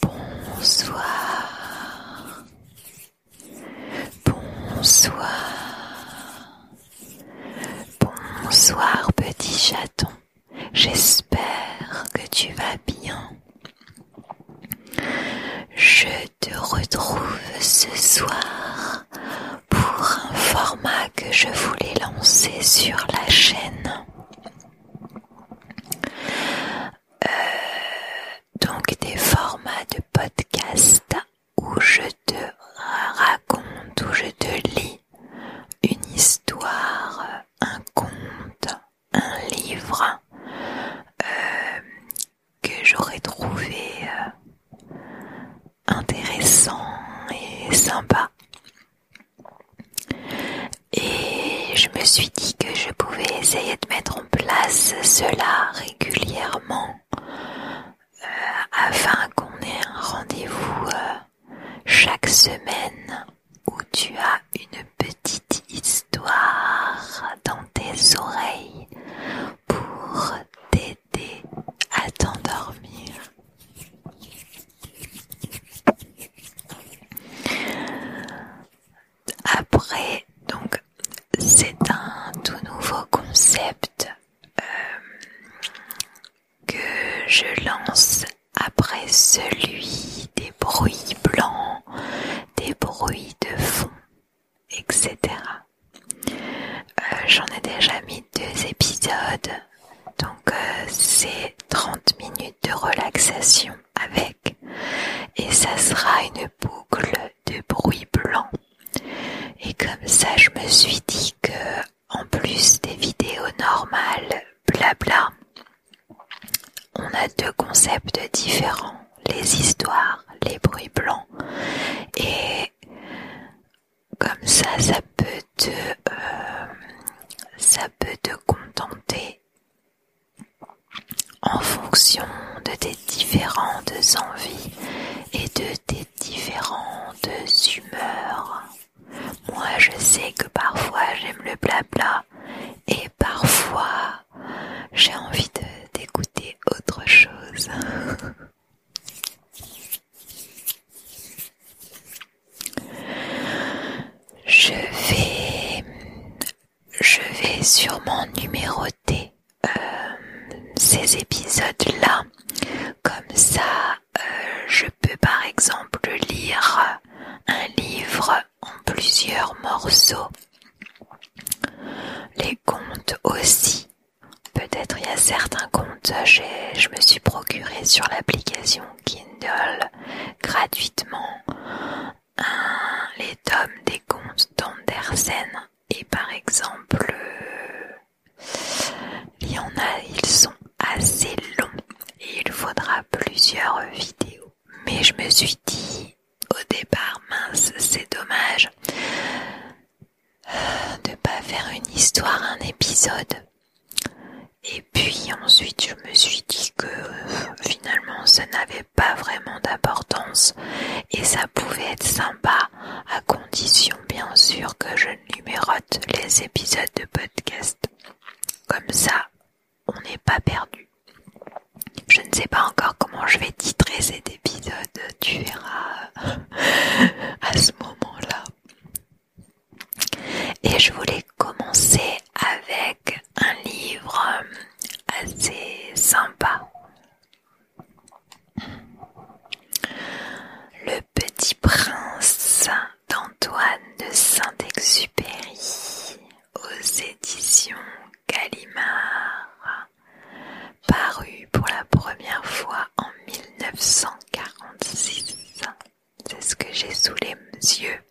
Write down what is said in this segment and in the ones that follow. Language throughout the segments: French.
Bonsoir. Bonsoir. Bonsoir petit chaton. J'espère que tu vas bien. Je te retrouve ce soir pour un format que je voulais lancer sur la chaîne. Euh, donc des formats de podcast où je te raconte, où je te lis une histoire, un conte, un livre euh, que j'aurais trouvé euh, intéressant et sympa. Et je me suis dit que je pouvais essayer de mettre en place cela régulièrement euh, afin qu'on ait un rendez-vous euh, chaque semaine où tu as une petite histoire dans tes oreilles pour t'aider à t'endormir. Après, donc, c'est un tout nouveau concept euh, que je lance après celui des bruits blancs, des bruits de fond, etc. Euh, j'en ai déjà mis deux épisodes donc euh, c'est 30 minutes de relaxation avec et ça sera une boucle de bruit blanc. Et comme ça je me suis dit que en plus des vidéos normales, blabla, on a deux concepts différents, les histoires, les bruits blancs et comme ça, ça peut te, euh, ça peut contenter en fonction de tes différentes envies et de tes différentes humeurs. Moi, je sais que parfois j'aime le blabla et parfois j'ai envie d'écouter autre chose. Je vais, je vais sûrement numéroter euh, ces épisodes-là. Comme ça, euh, je peux par exemple lire un livre en plusieurs morceaux. Les comptes aussi. Peut-être il y a certains contes, je me suis procuré sur l'application Kindle gratuitement les tomes des contes d'Andersen et par exemple euh, il y en a, ils sont assez longs et il faudra plusieurs vidéos. Mais je me suis dit au départ, mince, c'est dommage euh, de pas faire une histoire, un épisode. Et puis ensuite je me suis dit que euh, finalement ça n'avait pas vraiment d'importance et ça pouvait être sympa à condition bien sûr que je numérote les épisodes de podcast. Comme ça on n'est pas perdu. Je ne sais pas encore comment je vais titrer cet épisode, tu verras à ce moment-là. Et je voulais commencer avec un livre euh, assez sympa. Le Petit Prince d'Antoine de Saint-Exupéry aux éditions Gallimard, paru pour la première fois en 1946 c'est ce que j'ai sous les yeux.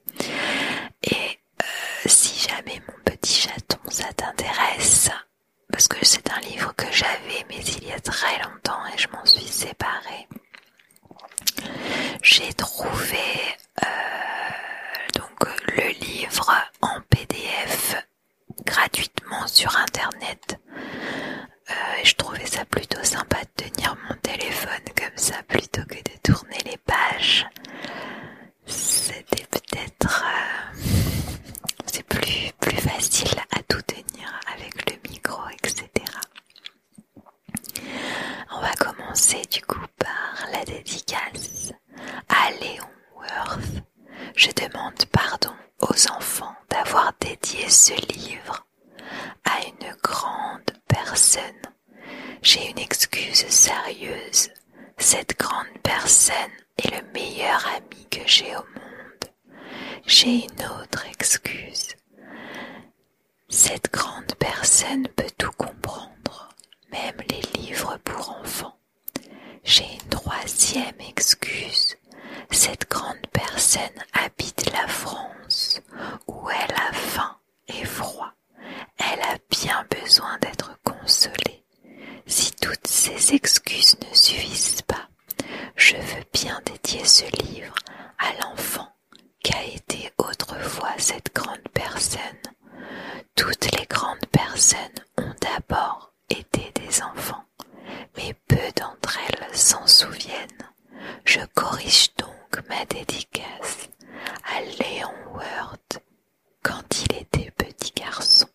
Et euh, si jamais mon petit chaton ça t'intéresse, parce que c'est un livre que j'avais mais il y a très longtemps et je m'en suis séparée. J'ai trouvé euh, le livre en PDF gratuitement sur internet euh, je trouvais ça plutôt sympa de tenir mon téléphone comme ça plutôt que de tourner les pages. C'était peut-être... Euh, c'est plus, plus facile à tout tenir avec le micro, etc. On va commencer du coup par la dédicace à Léon Worth. Je demande pardon aux enfants d'avoir dédié ce livre à une grande personne. J'ai une excuse sérieuse. Cette grande personne est le meilleur ami que j'ai au monde. J'ai une autre excuse. Cette grande personne peut tout comprendre, même les livres pour enfants. J'ai une troisième excuse. Cette grande personne habite la France où elle a faim et froid, elle a bien besoin d'être consolée. Si toutes ces excuses ne suffisent pas, je veux bien dédier ce livre à l'enfant qu'a été autrefois cette grande personne. Toutes les grandes personnes ont d'abord été des enfants, mais peu d'entre elles s'en souviennent je corrige donc ma dédicace à Léon Word quand il était petit garçon.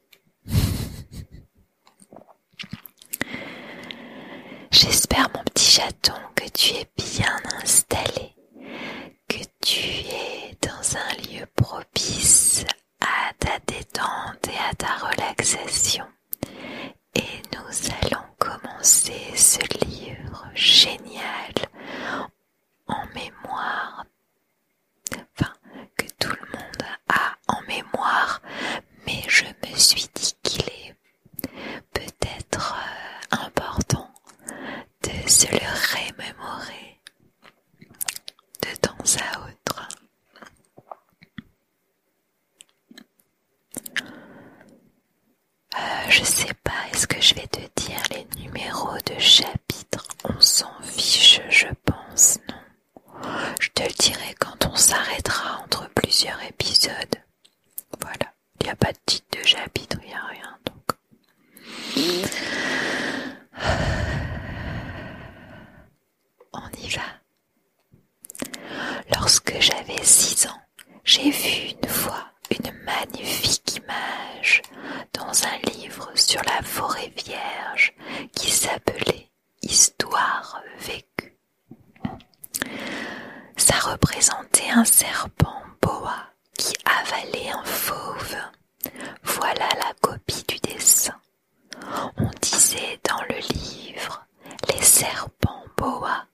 J'espère mon petit chaton que tu es bien installé, que tu es dans un lieu propice à ta détente et à ta relaxation et nous allons commencer ce livre génial en mémoire, enfin que tout le monde a en mémoire, mais je me suis dit qu'il est peut-être euh, important de se le rémémorer de temps à autre. Euh, je sais pas, est-ce que je vais te dire les numéros de chapitre On s'en fiche, je pense, non Je te le dirai quand on s'arrêtera entre plusieurs épisodes. Voilà, il n'y a pas de titre de chapitre, il n'y a rien donc. On y va. Lorsque j'avais six ans, j'ai vu une fois une magnifique image dans un livre sur la forêt vierge qui s'appelait Histoire vécue. Ça représentait un serpent boa qui avalait un fauve. Voilà la copie du dessin. On disait dans le livre les serpents boa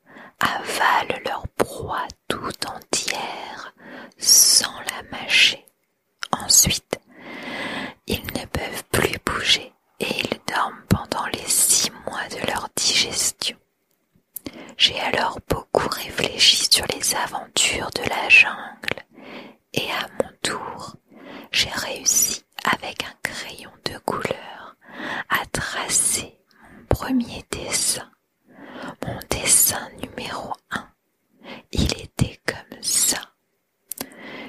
avalent leur proie tout entière sans la mâcher. Ensuite, ils ne peuvent plus bouger et ils dorment pendant les six mois de leur digestion. J'ai alors beaucoup réfléchi sur les aventures de la jungle et à mon tour, j'ai réussi avec un crayon de couleur à tracer mon premier dessin, mon dessin numéro un, Il était comme ça.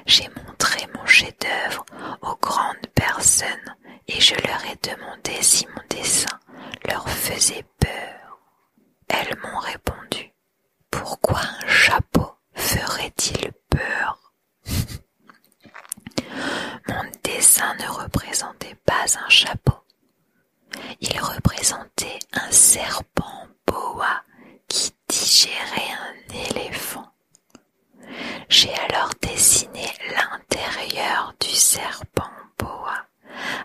J'ai montré mon chef-d'œuvre aux grandes personnes et je leur ai demandé si mon dessin leur faisait peur. Elles m'ont répondu Pourquoi un chapeau ferait-il peur mon dessin ne représentait pas un chapeau. Il représentait un serpent boa qui digérait un éléphant. J'ai alors dessiné l'intérieur du serpent boa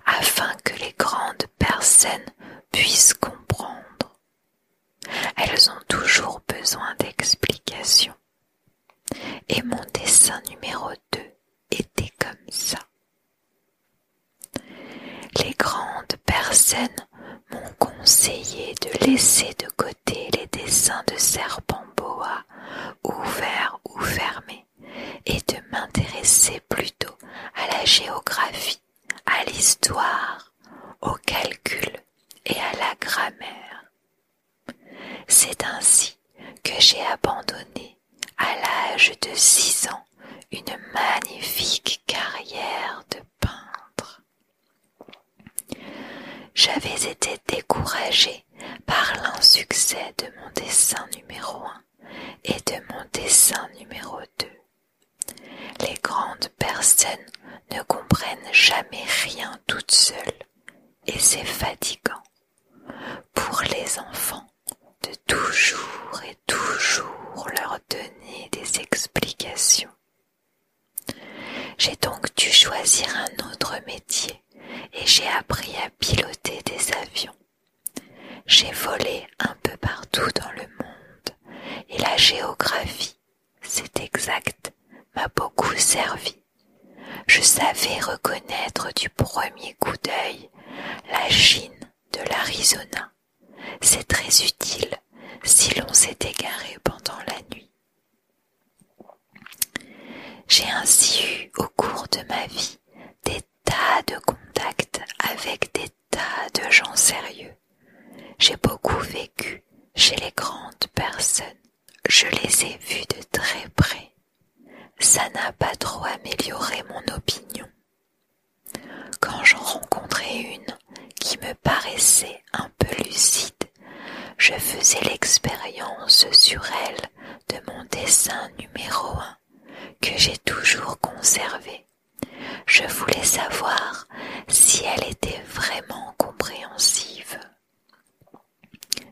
afin que les grandes personnes puissent comprendre. Elles ont toujours besoin d'explications. Et mon dessin numéro 2 était comme ça. Les grandes personnes m'ont conseillé de laisser de côté les dessins de serpents boa ouverts ou fermés et de m'intéresser plutôt à la géographie, à l'histoire, au calcul et à la grammaire. C'est ainsi que j'ai abandonné à l'âge de six ans une magnifique carrière de peintre. J'avais été découragée par l'insuccès de mon dessin numéro un et de mon dessin numéro 2. Les grandes personnes ne comprennent jamais rien toutes seules et c'est fatigant pour les enfants de toujours et toujours leur donner des explications. J'ai donc dû choisir un autre métier et j'ai appris à piloter des avions. J'ai volé un peu partout dans le monde et la géographie, c'est exact, m'a beaucoup servi. Je savais reconnaître du premier coup d'œil la Chine de l'Arizona. C'est très utile si l'on s'est égaré pendant la nuit. J'ai ainsi eu au cours de ma vie des tas de contacts avec des tas de gens sérieux. J'ai beaucoup vécu chez les grandes personnes je les ai vues de très près. Ça n'a pas trop amélioré mon opinion. Quand j'en rencontrais une qui me paraissait un peu lucide, je faisais l'expérience sur elle de mon dessin numéro un que j'ai toujours conservé. Je voulais savoir si elle était vraiment compréhensive.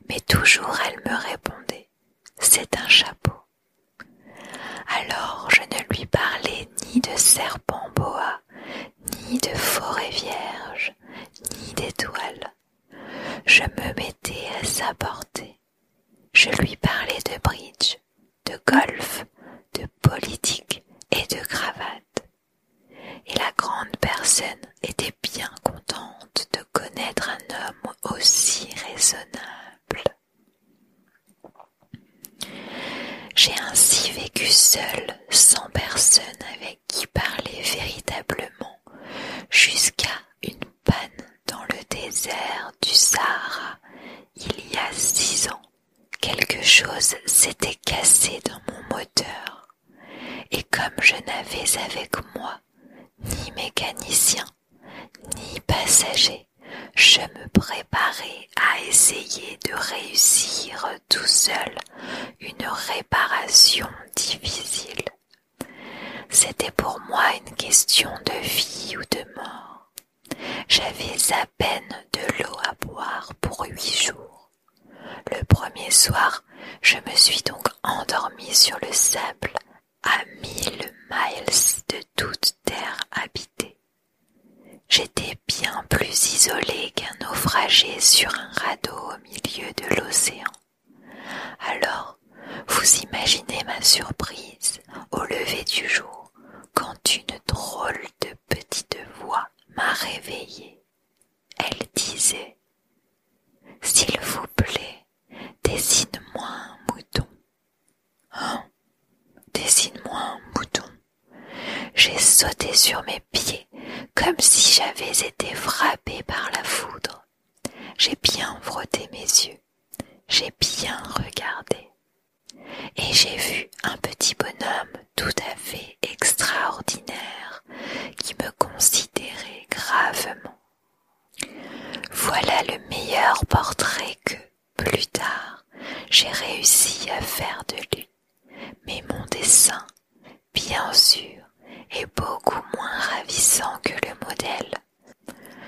Mais toujours elle me répondait, c'est un chapeau. Alors je ne lui parlais ni de serpent boa, ni de forêt vierge, ni d'étoiles. Je me mettais à sa portée. Je lui parlais de bridge, de golf, de politique et de cravate. Et la grande personne était bien contente de connaître un homme aussi raisonnable. J'ai ainsi vécu seule, sans personne avec qui parler véritablement, jusqu'à une panne dans le désert du Sahara, il y a six ans. Quelque chose s'était cassé dans mon moteur. Et comme je n'avais avec moi ni mécanicien, ni passager, je me préparais à essayer de réussir tout seul une réparation difficile. C'était pour moi une question de vie ou de mort. J'avais à peine de l'eau à boire pour huit jours. Le premier soir, je me suis donc endormi sur le sable à mille miles de toute terre habitée. J'étais bien plus isolée qu'un naufragé sur un radeau au milieu de l'océan. Alors, vous imaginez ma surprise au lever du jour quand une drôle de petite voix m'a réveillée elle disait S'il vous plaît, dessine-moi un mouton. Hein? Dessine-moi un mouton. J'ai sauté sur mes pieds comme si j'avais été frappé par la foudre. J'ai bien frotté mes yeux, j'ai bien regardé, et j'ai vu un petit bonhomme tout à fait extraordinaire qui me considérait gravement. Voilà le meilleur portrait que, plus tard, j'ai réussi à faire de lui. Mais mon dessin, bien sûr, est beaucoup moins ravissant que le modèle.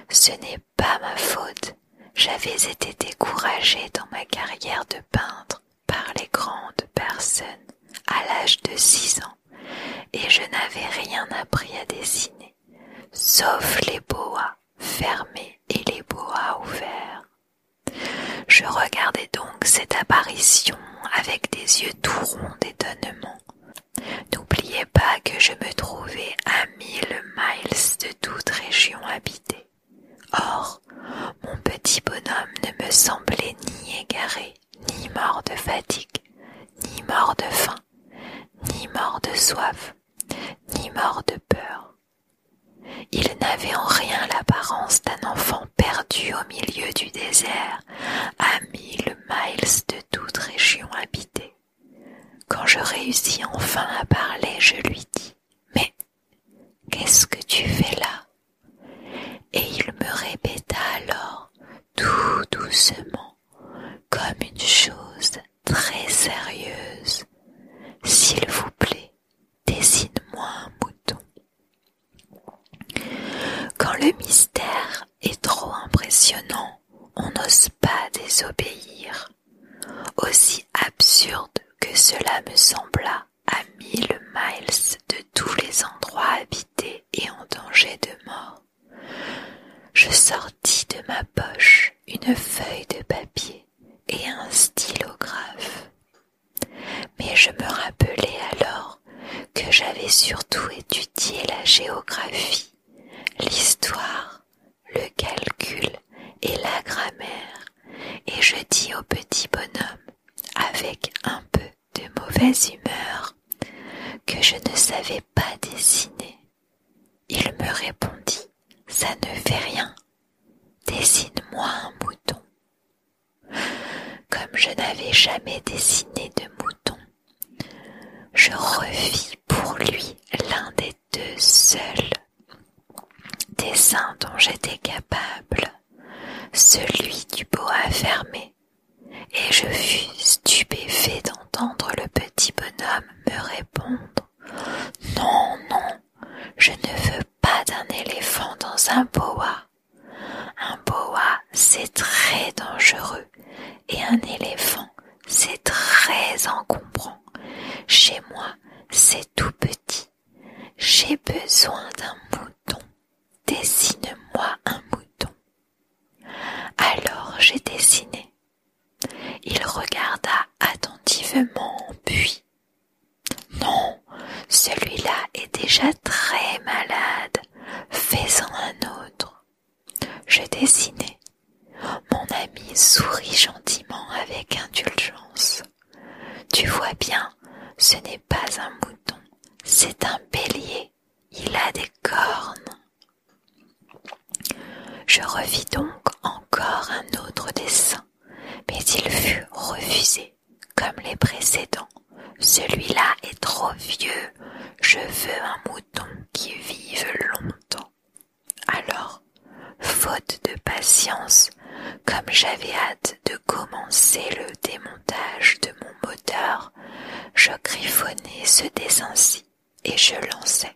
Ce n'est pas ma faute. J'avais été découragé dans ma carrière de peintre par les grandes personnes à l'âge de six ans et je n'avais rien appris à dessiner, sauf les boas fermés et les boas ouverts. Je regardais donc cette apparition avec des yeux tout ronds d'étonnement. N'oubliez pas que je me trouvais à mille miles de toute région habitée. Or, mon petit bonhomme ne me semblait ni égaré, ni mort de fatigue, ni mort de faim, ni mort de soif, ni mort de peur. Il n'avait en rien l'apparence d'un enfant perdu au milieu du désert, à mille miles de toute région habitée. Quand je réussis enfin à parler, je lui dis Mais qu'est-ce que tu fais là et il me répéta alors tout doucement, comme une chose très sérieuse, S'il vous plaît, dessine-moi un bouton. Quand le mystère est trop impressionnant, on n'ose pas désobéir. Aussi absurde que cela me sembla à mille miles de tous les endroits habités, et en danger de mort, je sortis de ma poche une feuille de papier et un stylographe. Mais je me rappelais alors que j'avais surtout étudié la géographie, l'histoire, le calcul et la grammaire, et je dis au petit bonhomme, avec un peu de mauvaise humeur que je ne savais pas dessiner. Il me répondit Ça ne fait rien. Dessine-moi un mouton. Comme je n'avais jamais dessiné de mouton, je revis pour lui l'un des deux seuls dessins dont j'étais capable celui du boa fermé, et je fus stupéfait d'entendre le petit bonhomme me répondre Non, non, je ne veux pas d'un éléphant dans un boa. Un boa, c'est très dangereux, et un éléphant, c'est très encombrant. Chez moi, c'est tout petit. J'ai besoin d'un mouton Dessine-moi un mouton. Alors j'ai dessiné. Il regarda attentivement, puis Non, celui-là est déjà très malade. Fais-en un autre. Je dessinai. Mon ami sourit gentiment avec indulgence. Tu vois bien, ce n'est pas un mouton, c'est un bélier il a des cornes. Je revis donc encore un autre dessin, mais il fut refusé, comme les précédents. Celui-là est trop vieux, je veux un mouton qui vive longtemps. Alors, faute de patience, comme j'avais hâte de commencer le démontage de mon moteur, je griffonnais ce dessin-ci et je lançais.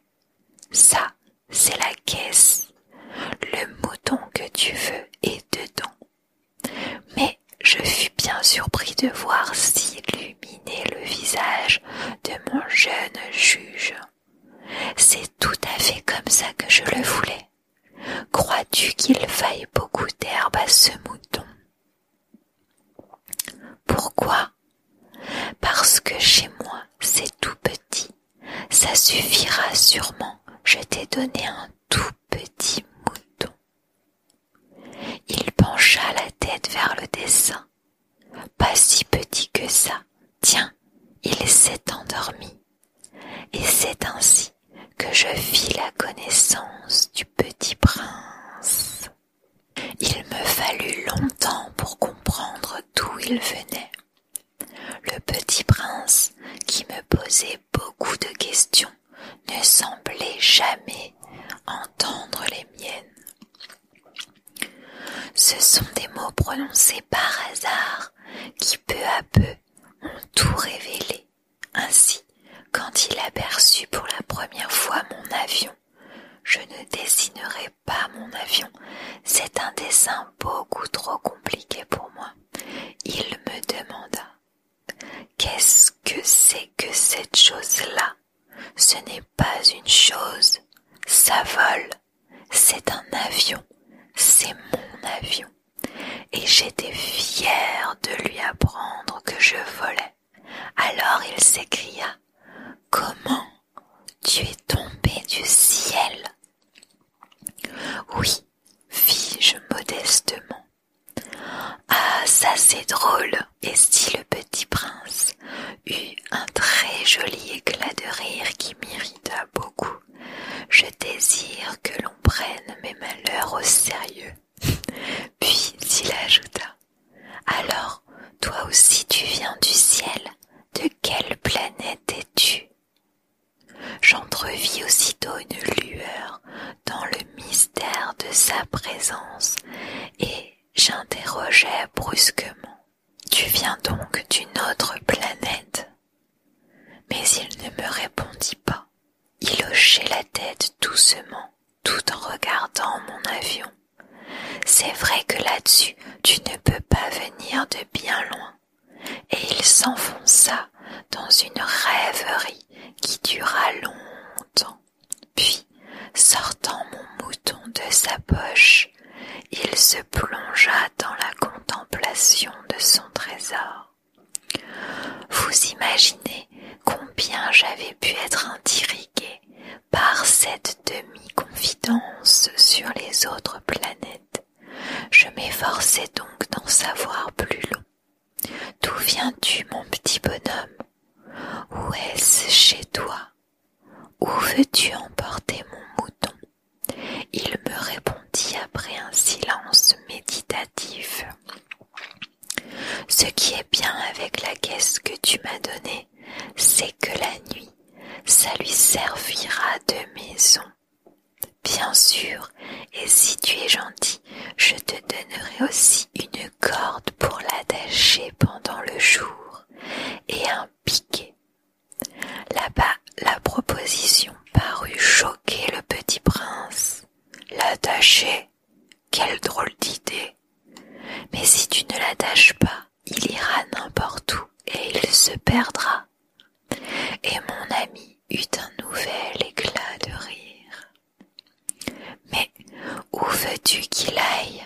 Ça, c'est la caisse. Le mouton que tu veux est dedans. Mais je fus bien surpris de voir s'illuminer le visage de mon jeune juge. C'est tout à fait comme ça que je le voulais. Crois-tu qu'il faille beaucoup d'herbe à ce mouton pourquoi Parce que chez moi c'est tout petit. Ça suffira sûrement. Je t'ai donné un tout petit mouton. Il pencha la tête vers le dessin. Pas si petit que ça. Tiens, il s'est endormi. Et c'est ainsi que je fis la connaissance du petit prince. Il me fallut longtemps pour comprendre d'où il venait. Le petit prince, qui me posait beaucoup de questions, ne semblait jamais entendre les miennes. Ce sont des mots prononcés par hasard qui peu à peu ont tout révélé. Ainsi, quand il aperçut pour la première fois mon avion, je ne dessinerai pas mon avion, c'est un dessin beaucoup trop compliqué pour moi. Il me demanda Qu'est-ce que c'est que cette chose-là Ce n'est pas une chose, ça vole, c'est un avion, c'est mon avion et j'étais fière de lui apprendre que je volais. Alors il s'écria Comment tu es tombé du ciel Oui, fis-je modestement. Ah, ça c'est drôle. Et si le petit prince eut un très joli éclat de rire qui m'irrita beaucoup, je désire que l'on prenne mes malheurs au sérieux puis il ajouta Alors, toi aussi tu viens du ciel De quelle planète es-tu J'entrevis aussitôt une lueur dans le mystère de sa présence et j'interrogeai brusquement. Tu viens donc d'une autre planète Mais il ne me répondit pas. Il hochait la tête doucement tout en regardant mon avion. C'est vrai que là-dessus tu ne peux pas venir de bien loin. Et il s'enfonça dans une rêverie qui dura longtemps. Puis, sortant mon mouton de sa poche, il se plongea dans la contemplation de son trésor. Vous imaginez combien j'avais pu être intriguée par cette demi-confidence sur les autres planètes. Je m'efforçais donc d'en savoir plus long. D'où viens-tu, mon petit bonhomme Où est-ce chez toi Où veux-tu emporter mon mouton Il me répondit après un silence méditatif. Ce qui est bien avec la caisse que tu m'as donnée, c'est que la nuit, ça lui servira de maison. Bien sûr, et si tu es gentil, je te donnerai aussi une corde pour l'attacher pendant le jour et un piquet. Là-bas, la proposition parut choquer le petit prince. L'attacher quelle drôle d'idée. Mais si tu ne l'attaches pas, il ira n'importe où et il se perdra. Et mon ami eut un nouvel éclat de rire. Mais où veux-tu qu'il aille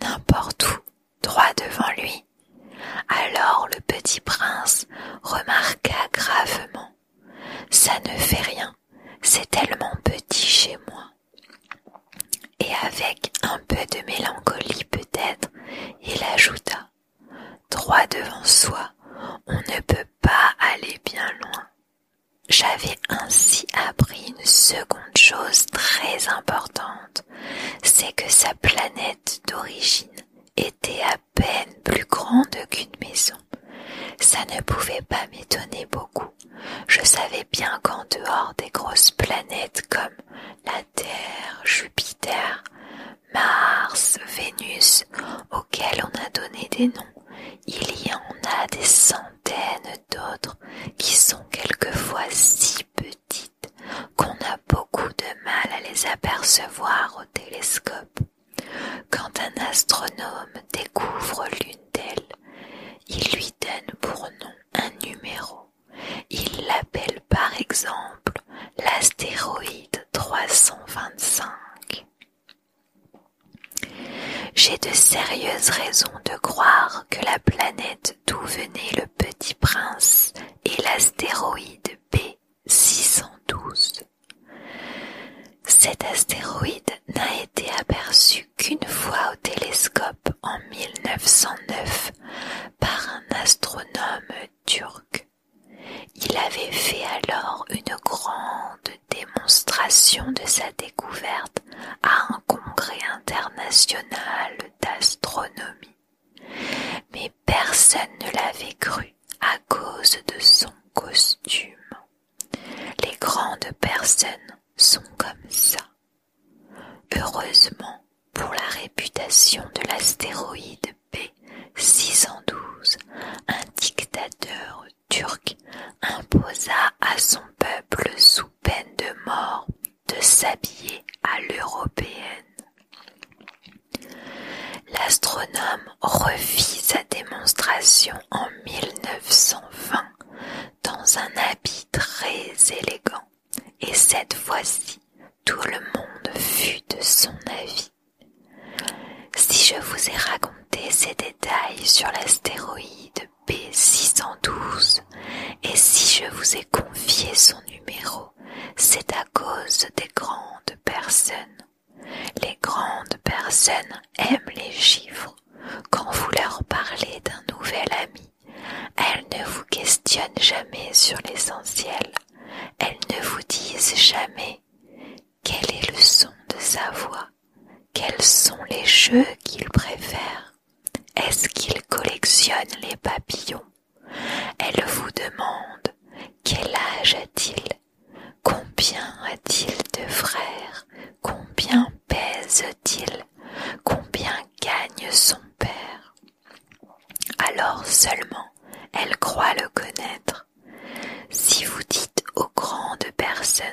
N'importe où, droit devant lui. Alors le petit prince remarqua gravement. Ça ne fait rien c'est tellement petit chez moi. Et avec un peu de mélancolie peut-être, il ajouta Droit devant soi, on ne peut pas aller bien loin. J'avais ainsi appris une seconde chose très importante, c'est que sa planète d'origine était à peine plus grande qu'une maison. Ça ne pouvait pas m'étonner beaucoup. Je savais bien qu'en dehors des grosses planètes comme la Terre, Jupiter, Mars, Vénus, auxquelles on a donné des noms, il y en a des centaines d'autres qui sont quelquefois si petites qu'on a beaucoup de mal à les apercevoir au télescope. Quand un astronome découvre l'une d'elles, il lui donne pour nom un numéro. Il l'appelle par exemple l'astéroïde 325. J'ai de sérieuses raisons de croire que la planète d'où venait le petit prince est l'astéroïde B612. Cet astéroïde n'a été aperçu qu'une fois au télescope en 1909 par un astronome turc. Il avait fait alors une grande démonstration de sa découverte à un congrès international d'astronomie. Mais personne ne l'avait cru à cause de son costume. Les grandes personnes sont comme ça. Heureusement pour la réputation de l'astéroïde P612, un dictateur turc imposa à son peuple sous peine de mort de s'habiller à l'européenne. L'astronome revit sa démonstration en 1920 dans un habit très élégant et cette fois-ci tout le monde fut de son avis. Si je vous ai raconté ces détails sur l'astéroïde B612 et si je vous ai confié son numéro, c'est à cause des grandes personnes les grandes personnes aiment les chiffres. Quand vous leur parlez d'un nouvel ami, elles ne vous questionnent jamais sur l'essentiel. Elles ne vous disent jamais quel est le son de sa voix, quels sont les jeux qu'il préfère, est-ce qu'il collectionne les papillons. Elles vous demandent quel âge a-t-il, Combien a-t-il de frères Combien pèse-t-il Combien gagne son père Alors seulement elle croit le connaître. Si vous dites aux grandes personnes,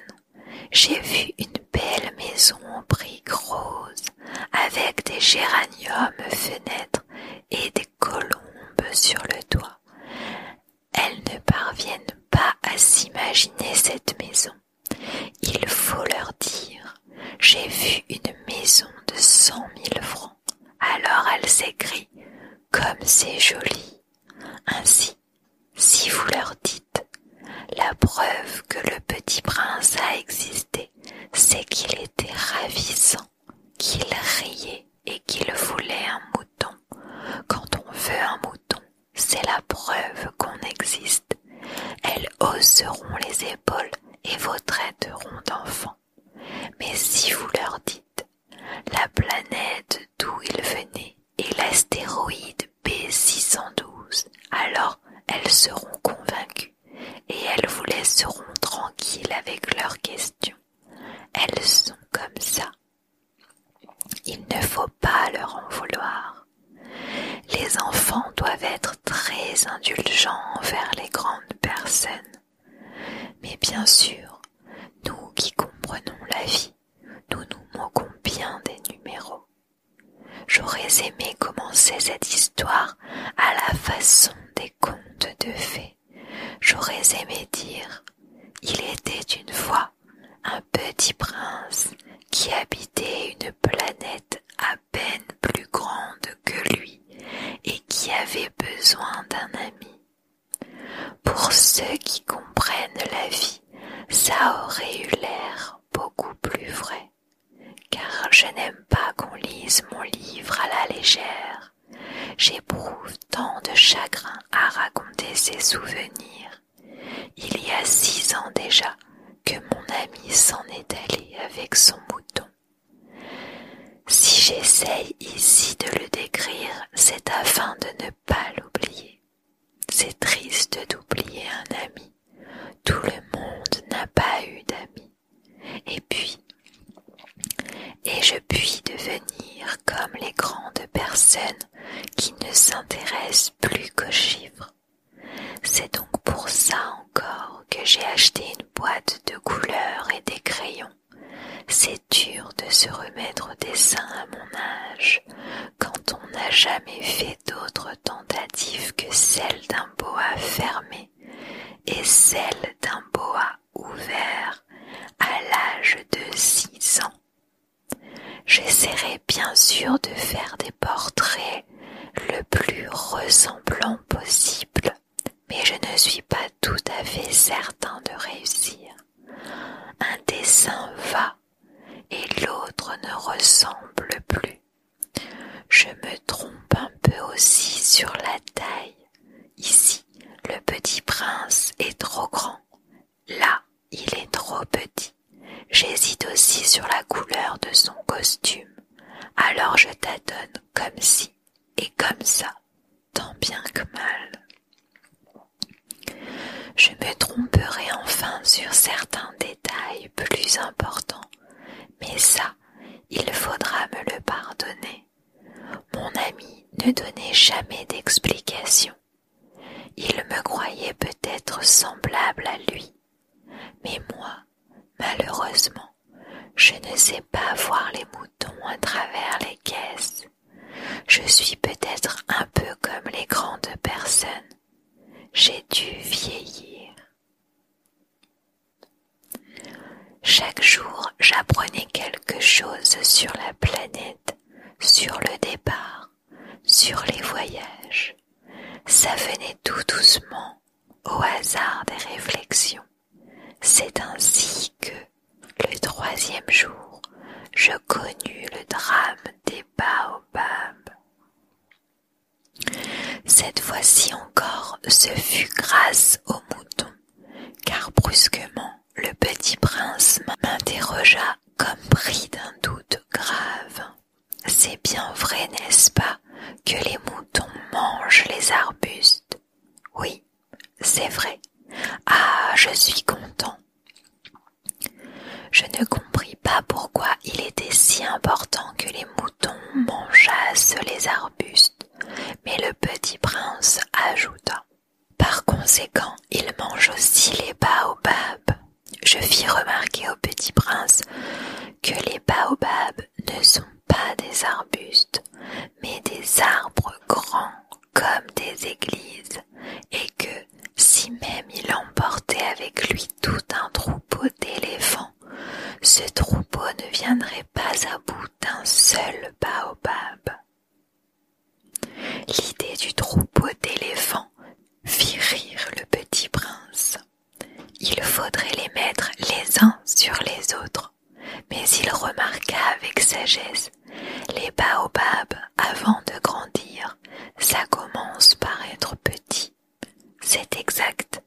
j'ai vu une belle maison en briques roses, avec des géraniums fenêtres et des colombes sur le toit. Elles ne parviennent pas à s'imaginer cette maison. Il faut leur dire J'ai vu une maison de cent mille francs. Alors elles s'écrient Comme c'est joli. Ainsi, si vous leur dites La preuve que le petit prince a existé, c'est qu'il était ravissant, qu'il riait et qu'il voulait un mouton. Quand on veut un mouton, c'est la preuve qu'on existe. Elles hausseront les épaules et vous traiteront d'enfants. Mais si vous leur dites la planète d'où ils venaient est l'astéroïde B612, alors elles seront convaincues et elles vous laisseront tranquilles avec leurs questions. Elles sont comme ça, il ne faut pas leur en vouloir. Les enfants doivent être très indulgents envers les grandes personnes. Mais bien sûr, nous qui comprenons la vie, nous nous moquons bien des numéros. J'aurais aimé commencer cette histoire à la façon des contes de fées. J'aurais aimé dire Il était une fois un petit prince qui habitait une planète à peine plus grande que lui et qui avait besoin d'un ami. Pour ceux qui comprennent la vie, ça aurait eu l'air beaucoup plus vrai, car je n'aime pas qu'on lise mon livre à la légère. J'éprouve tant de chagrin à raconter ces souvenirs il y a six ans déjà que mon ami s'en est allé avec son mouton. Si j'essaye ici de le décrire, c'est afin de ne pas l'oublier. C'est triste d'oublier un ami. Tout le monde n'a pas eu d'amis. Et puis, et je puis devenir comme les grandes personnes qui ne s'intéressent plus qu'aux chiffres. C'est donc pour ça encore que j'ai acheté une boîte de couleurs et des crayons. C'est dur de se remettre au dessin à mon âge, quand on n'a jamais fait d'autres tentatives que celle d'un boa fermé et celle d'un boa ouvert à l'âge de six ans. J'essaierai bien sûr de faire des portraits le plus ressemblant possible, mais je ne suis pas tout à fait certain de réussir. Un dessin va et l'autre ne ressemble plus. Je me trompe un peu aussi sur la taille. Ici, le petit prince est trop grand, Là, il est trop petit. J'hésite aussi sur la couleur de son costume. Alors je t'adonne comme si et comme ça, tant bien que mal. Je me tromperai enfin sur certains détails plus importants, mais ça, il faudra me le pardonner. Mon ami ne donnait jamais d'explication il me croyait peut-être semblable à lui, mais moi, malheureusement, je ne sais pas voir les moutons à travers les caisses. Je suis peut-être un peu comme les grandes personnes. J'ai dû vieillir. Chaque jour, j'apprenais quelque chose sur la planète, sur le départ sur les voyages, ça venait tout doucement, au hasard des réflexions. C'est ainsi que, le troisième jour, je connus le drame des baobabs. Cette fois-ci encore, ce fut grâce au mouton, car brusquement, le petit prince m'interrogea comme pris d'un doute grave. C'est bien vrai, n'est-ce pas, que les moutons mangent les arbustes Oui, c'est vrai. Ah, je suis content. Je ne compris pas pourquoi il était si important que les moutons mangeassent les arbustes, mais le petit prince ajouta. Par conséquent, il mange aussi les baobabs. Je fis remarquer au petit prince que les baobabs ne sont pas des arbustes, mais des arbres grands comme des églises, et que, si même il emportait avec lui tout un troupeau d'éléphants, ce troupeau ne viendrait pas à bout d'un seul baobab. L'idée du troupeau d'éléphants fit rire le petit prince. Il faudrait les mettre les uns sur les autres, mais il remarqua avec sagesse les baobabs avant de grandir, ça commence par être petit. C'est exact.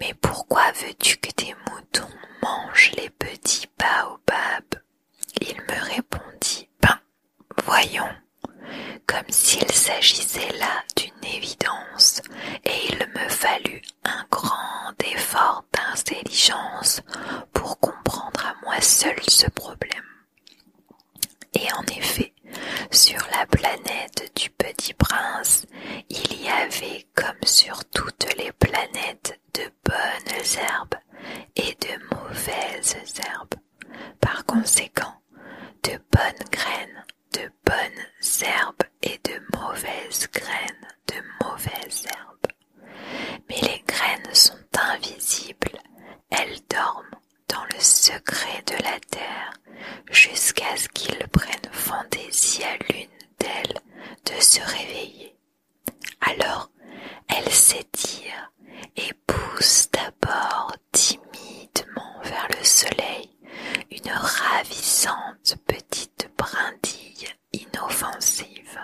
Mais pourquoi veux-tu que tes moutons mangent les petits baobabs il me répondit Ben, voyons, comme s'il s'agissait là d'une évidence, et il me fallut un grand effort d'intelligence pour comprendre à moi seul ce problème. Et en effet, sur la planète du petit prince, il y avait, comme sur toutes les planètes, de bonnes herbes et de mauvaises herbes. Par conséquent, de bonnes graines, de bonnes herbes et de mauvaises graines, de mauvaises herbes. Mais les graines sont invisibles, elles dorment dans le secret de la terre jusqu'à ce qu'ils prennent fantaisie à l'une d'elles de se réveiller. Alors elle s'étire et pousse d'abord timidement vers le soleil une ravissante petite brindille inoffensive.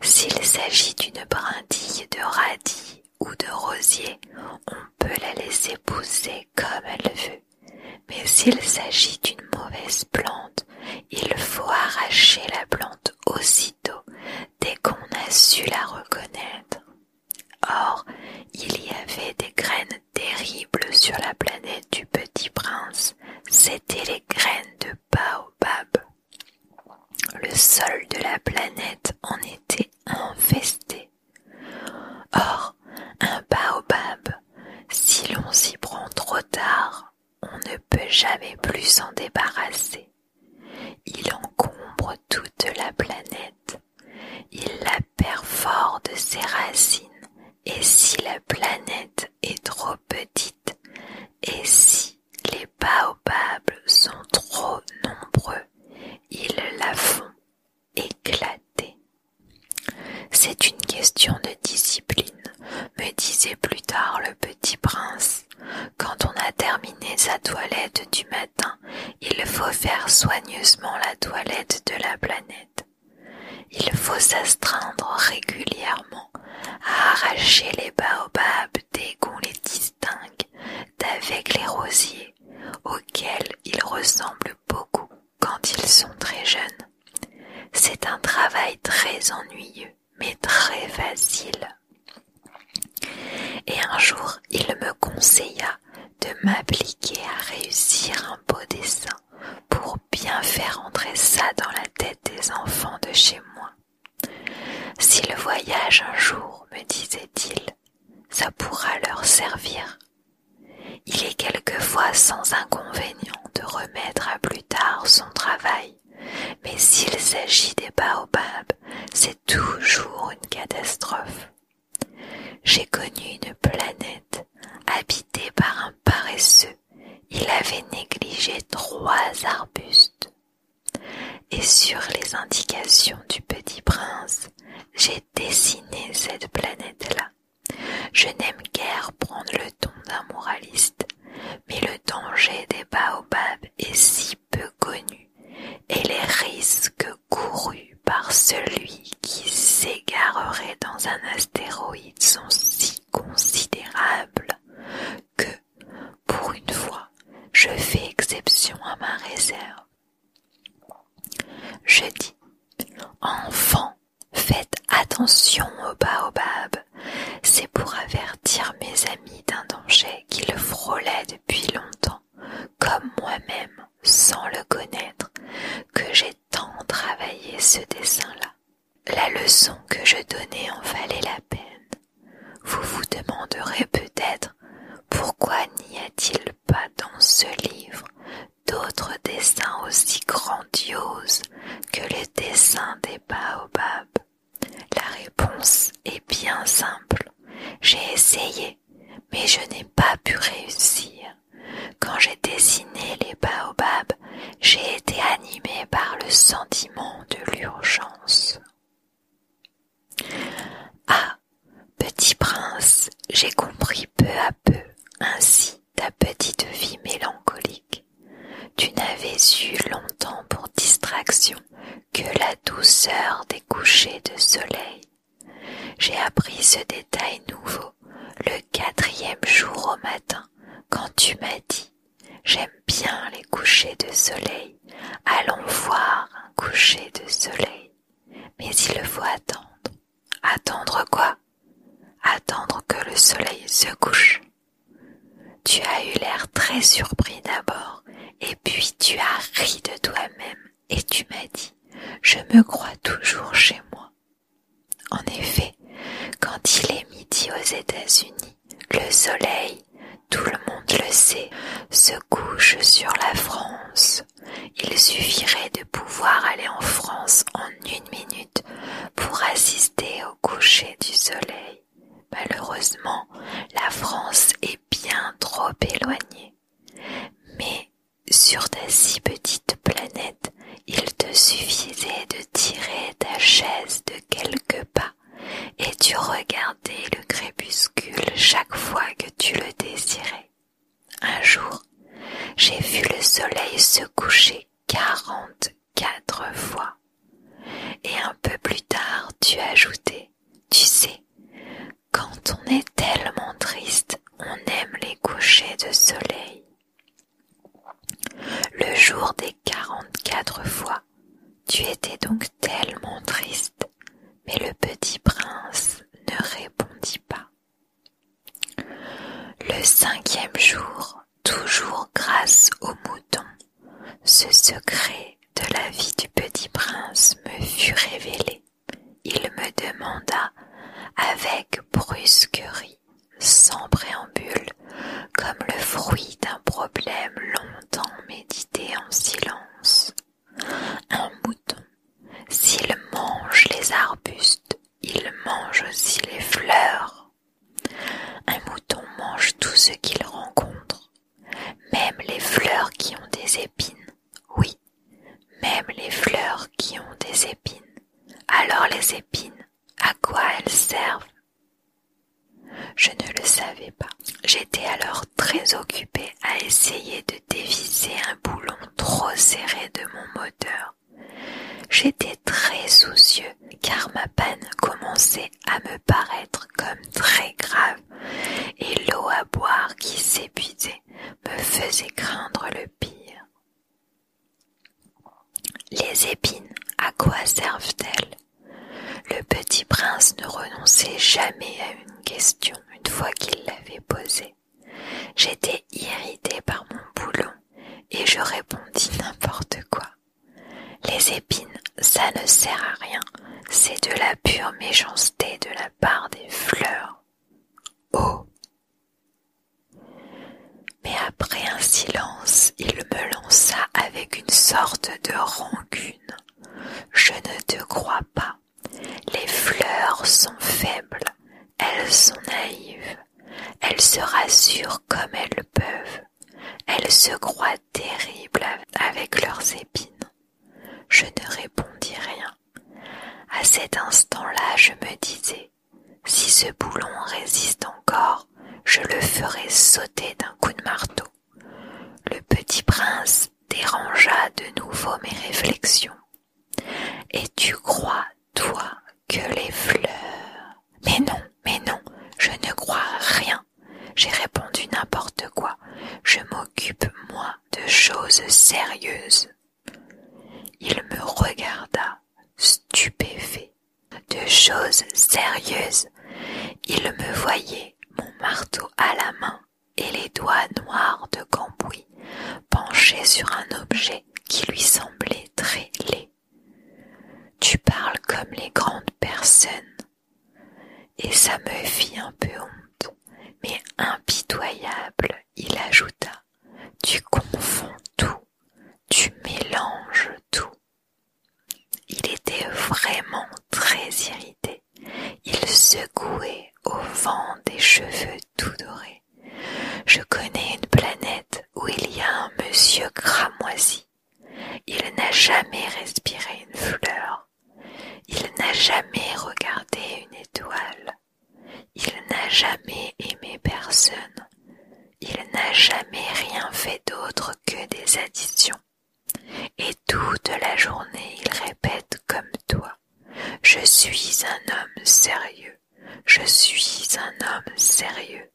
S'il s'agit d'une brindille de radis ou de rosier, on peut la laisser pousser comme elle veut. Mais s'il s'agit d'une mauvaise plante, il faut arracher la plante aussi dès qu'on a su la reconnaître. Or, il y avait des graines terribles sur la planète du petit prince. C'étaient les graines de baobab. Le sol de la planète en était infesté. Or, un baobab, si l'on s'y prend trop tard, on ne peut jamais plus s'en débarrasser. Il encombre toute la planète, il la perfore de ses racines, et si la planète est trop petite, et si les baobabs sont trop nombreux, il la font éclater. C'est une question de discipline, me disait plus tard le petit prince. Quand on a terminé sa toilette du matin, il faut faire soigneusement la toilette de la planète. Il faut s'astreindre régulièrement à arracher les baobabs dès qu'on les distingue d'avec les rosiers, auxquels ils ressemblent beaucoup quand ils sont très jeunes. C'est un travail très ennuyeux mais très facile. Et un jour, il me conseilla de m'appliquer à réussir un beau dessin pour bien faire entrer ça dans la tête des enfants de chez moi. Si le voyage un jour, me disait-il, ça pourra leur servir. Il est quelquefois sans inconvénient de remettre à plus tard son travail mais s'il s'agit des baobabs, c'est toujours une catastrophe. J'ai connu une planète habitée par un paresseux. Il avait négligé trois arbustes. Et sur les indications du petit prince, j'ai dessiné cette planète-là. Je n'aime guère prendre le ton d'un moraliste mais le danger des baobabs est si peu connu et les risques courus par celui qui s'égarerait dans un astéroïde sont si considérables que, pour une fois, je fais exception à ma réserve. Je dis, enfant, faites attention aux baobabs, c'est pour avertir mes amis d'un danger qu'il qui frôlait depuis longtemps, comme moi-même, sans le connaître, que j'ai tant travaillé ce dessin-là. La leçon que je donnais en valait la peine. Vous vous demanderez peut-être pourquoi n'y a-t-il pas dans ce livre d'autres dessins aussi grandioses que le dessin des baobabs la réponse est bien simple. J'ai essayé, mais je n'ai pas pu réussir. Quand j'ai dessiné les baobabs, j'ai été animée par le sentiment de l'urgence. Ah, petit prince, j'ai compris peu à peu ainsi ta petite vie mélancolique tu n'avais eu longtemps pour distraction que la douceur des couchers de soleil. J'ai appris ce détail nouveau le quatrième jour au matin quand tu m'as dit J'aime bien les couchers de soleil, allons voir un coucher de soleil. Mais il faut attendre. Attendre quoi Attendre que le soleil se couche. Tu as eu l'air très surpris d'abord, et puis tu as ri de toi-même, et tu m'as dit, je me crois toujours chez moi. En effet, quand il est midi aux États-Unis, le soleil, tout le monde le sait, se couche sur la France. Il suffirait de pouvoir aller en France en une minute pour assister au coucher du soleil. Malheureusement, la France est bien trop éloignée. Mais sur ta si petite planète, il te suffisait de tirer ta chaise de quelques pas et tu regardais le crépuscule chaque fois que tu le désirais. Un jour, j'ai vu le soleil se coucher quarante quatre fois. Et un peu plus tard, tu ajoutais, tu sais, quand on est tellement triste, on aime les couchers de soleil. Le jour des 44 fois, tu étais donc tellement triste, mais le petit prince ne répondit pas. Le cinquième jour, toujours grâce au mouton, ce secret de la vie du petit prince me fut révélé. Il me demanda avec brusquerie, sans préambule, comme le fruit d'un problème longtemps médité en silence. Un mouton, s'il mange les arbustes, il mange aussi les fleurs. Un mouton mange tout ce qu'il rencontre, même les fleurs qui ont des épines, oui, même les fleurs qui ont des épines. Alors les épines, à quoi elles servent Je ne le savais pas. J'étais alors très occupée à essayer de déviser un boulon trop serré de mon moteur. J'étais très soucieux car ma panne commençait à me paraître comme très grave, et l'eau à boire qui s'épuisait me faisait craindre le pire. Les épines, à quoi servent-elles Le petit prince ne renonçait jamais à une question une fois qu'il l'avait posée. J'étais irritée par mon boulot et je répondis n'importe quoi. Les épines, ça ne sert à rien, c'est de la pure méchanceté de la part des fleurs. Oh Mais après un silence, il me lança avec une sorte de rancune. Je ne te crois pas. Les fleurs sont faibles, elles sont naïves, elles se rassurent comme elles peuvent. Elles se croient terribles avec leurs épines. Je ne répondis rien. À cet instant-là, je me disais, si ce boulon résiste encore, je le ferai sauter d'un coup de marteau. Le petit prince dérangea de nouveau mes réflexions. Et tu crois, toi, que les fleurs. Mais non, mais non, je ne crois rien. J'ai répondu n'importe quoi. Je m'occupe, moi, de choses sérieuses. Il me regarda, stupéfait. De choses sérieuses. Il me voyait, mon marteau à la main et les doigts noirs de cambouis, penché sur un objet qui lui semblait très laid. Tu parles comme les grandes personnes, et ça me fit un peu honte, mais impitoyable, il ajouta, tu confonds tout, tu mélanges tout. Il était vraiment très irrité. Il secouait au vent des cheveux tout dorés. Je connais une planète où il y a un monsieur cramoisi il n'a jamais respiré une fleur. Il n'a jamais regardé une étoile. Il n'a jamais aimé personne. Il n'a jamais rien fait d'autre que des additions. Et toute la journée il répète comme toi. Je suis un homme sérieux. Je suis un homme sérieux.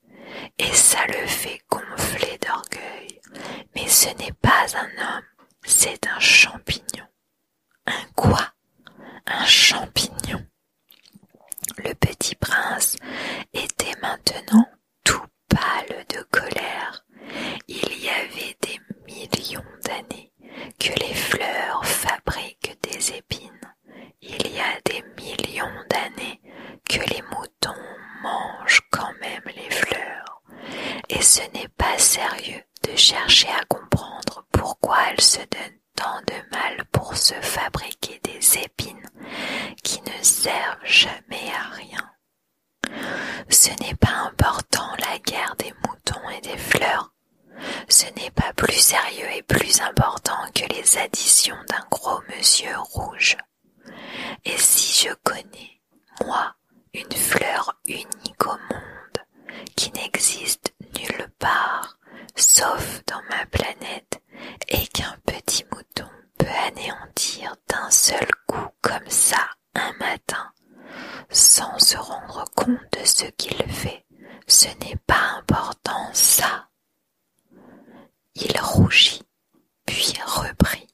Et ça le fait gonfler d'orgueil. Mais ce n'est pas un homme, c'est un champignon. Un quoi Un champignon. Le petit prince était maintenant tout pâle de colère. Il y avait des millions d'années que les fleurs fabriquent des épines. Il y a des millions d'années que les moutons mouton mange quand même les fleurs, et ce n'est pas sérieux de chercher à comprendre pourquoi elles se donnent tant de mal pour se fabriquer des épines qui ne servent jamais à rien. Ce n'est pas important la guerre des moutons et des fleurs. Ce n'est pas plus sérieux et plus important que les additions d'un gros monsieur rouge. Et si je connais, moi, une fleur unique au monde, qui n'existe nulle part, sauf dans ma planète, et qu'un petit mouton peut anéantir d'un seul coup comme ça un matin, sans se rendre compte de ce qu'il fait, ce n'est pas important ça. Il rougit puis reprit.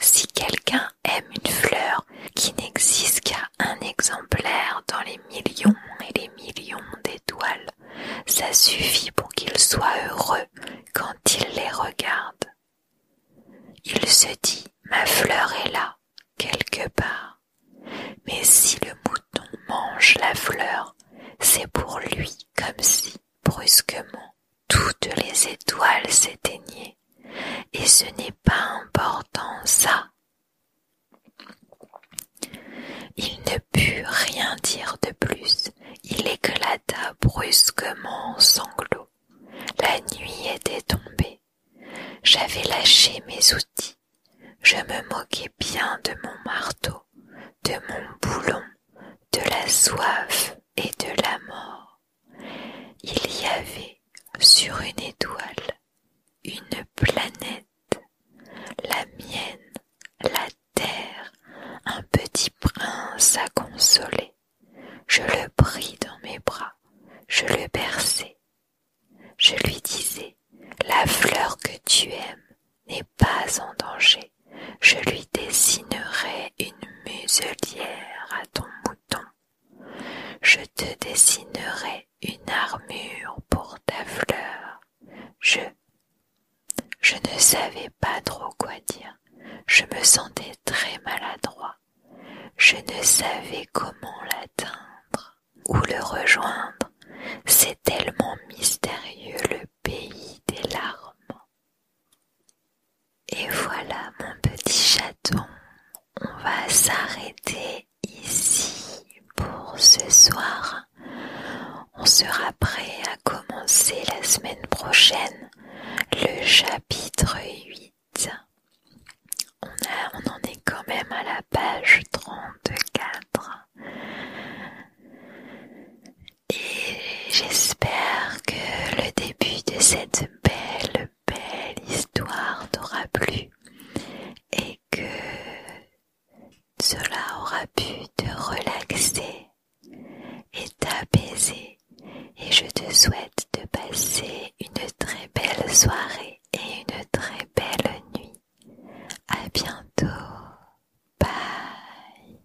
Si quelqu'un aime une fleur qui n'existe qu'à un exemplaire dans les millions et les millions d'étoiles, ça suffit pour qu'il soit heureux quand il les regarde. Il se dit Ma fleur est là, quelque part. Mais si le mouton mange la fleur, c'est pour lui comme si, brusquement, toutes les étoiles s'éteignaient, et ce n'est pas important ça. Il ne put rien dire de plus, il éclata brusquement en sanglots. La nuit était tombée. J'avais lâché mes outils. Je me moquais bien de mon marteau, de mon boulon, de la soif et de la mort, il y avait sur une étoile une planète, la mienne, la terre, un petit prince à consoler. Je le pris dans mes bras, je le berçai. Je lui disais, la fleur que tu aimes n'est pas en danger je lui dessinerai une muselière à ton mouton, je te dessinerai une armure pour ta fleur. Je je ne savais pas trop quoi dire. Je me sentais très maladroit. Je ne savais comment l'atteindre ou le rejoindre. C'est tellement mystérieux le pays des larmes. Et voilà mon petit chaton, on va s'arrêter ici pour ce soir. On sera prêt à commencer la semaine prochaine le chapitre 8. On, en est quand même à la page 34. Et j'espère que le début de cette belle, belle histoire t'aura plu et que cela aura pu te relaxer et t'apaiser. Et je te souhaite de passer une très belle soirée et une très belle nuit. À bientôt. Bye.